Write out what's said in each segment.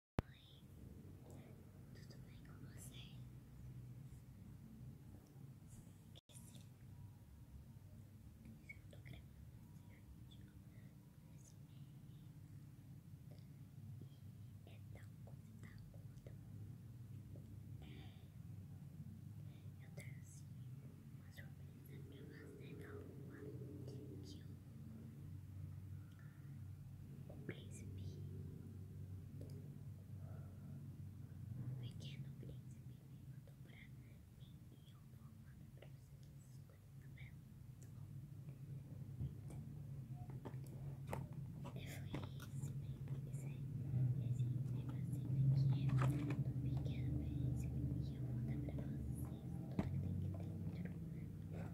tudo bem com você? Esqueci. Eu tô gravando esse vídeo nesse meio. E é tão coisa, tá curta. Eu trouxe uma surpresa pra você da lua que eu o príncipe, um pequeno príncipe me mandou pra mim e eu vou mandar pra vocês essas coisas também, tá bom? E foi esse bem, esse, esse negocinho aqui do pequeno príncipe e eu dar pra vocês tudo que tem que ter.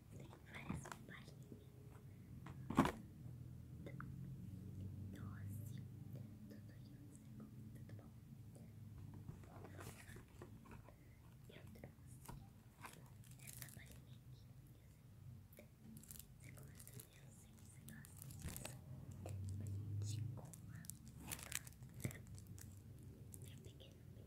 tem várias palhinhas. Doce, tudo em um segundo, tudo bom? Bom, vamos lá. Eu trouxe essa palhinha aqui. Você gosta mesmo? Sim, você gosta disso? Palhinha de cola. Eu peguei no meu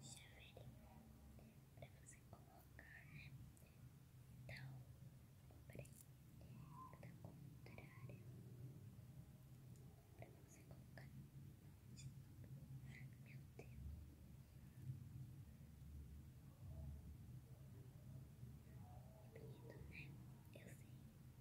chaveirinho para você colocar, Então, para tá contrário para você colocar. Meu Deus. É bonito, Eu sei.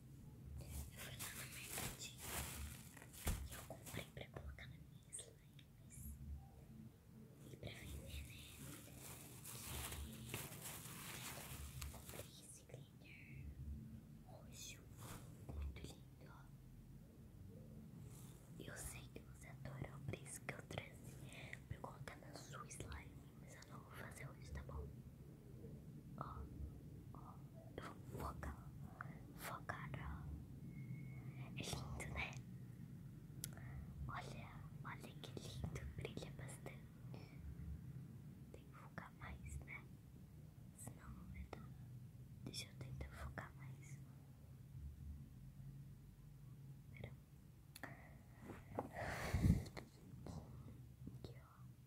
Eu fui lá na mercadinho e eu comprei pra colocar na minha slime e pra vender, né? E comprei esse glitter roxo, muito lindo. ó Eu sei que você adora, o isso que eu trouxe pra colocar na sua slime mas eu não vou fazer hoje, tá bom? Ó, ó, eu vou focar, focar, ó. É lindo, né? Olha, olha que lindo, brilha bastante. Tem que focar mais, né? Senão não vai dar. Deixa eu tentar focar mais. Espera. Aqui, ó.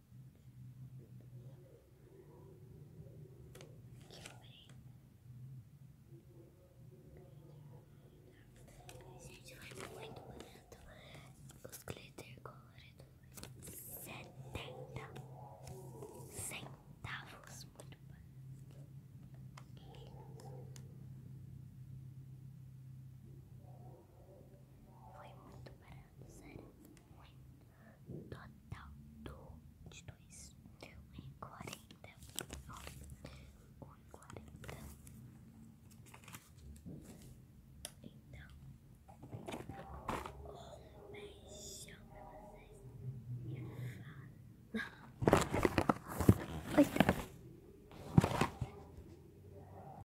A gente vai muito bonito Os glitter coloridos. Setenta centavos. Muito barato. Foi muito barato, sério. Um total do, de dois. Um quarenta, Ó, um quarenta, Então, um beijão pra vocês. E fala.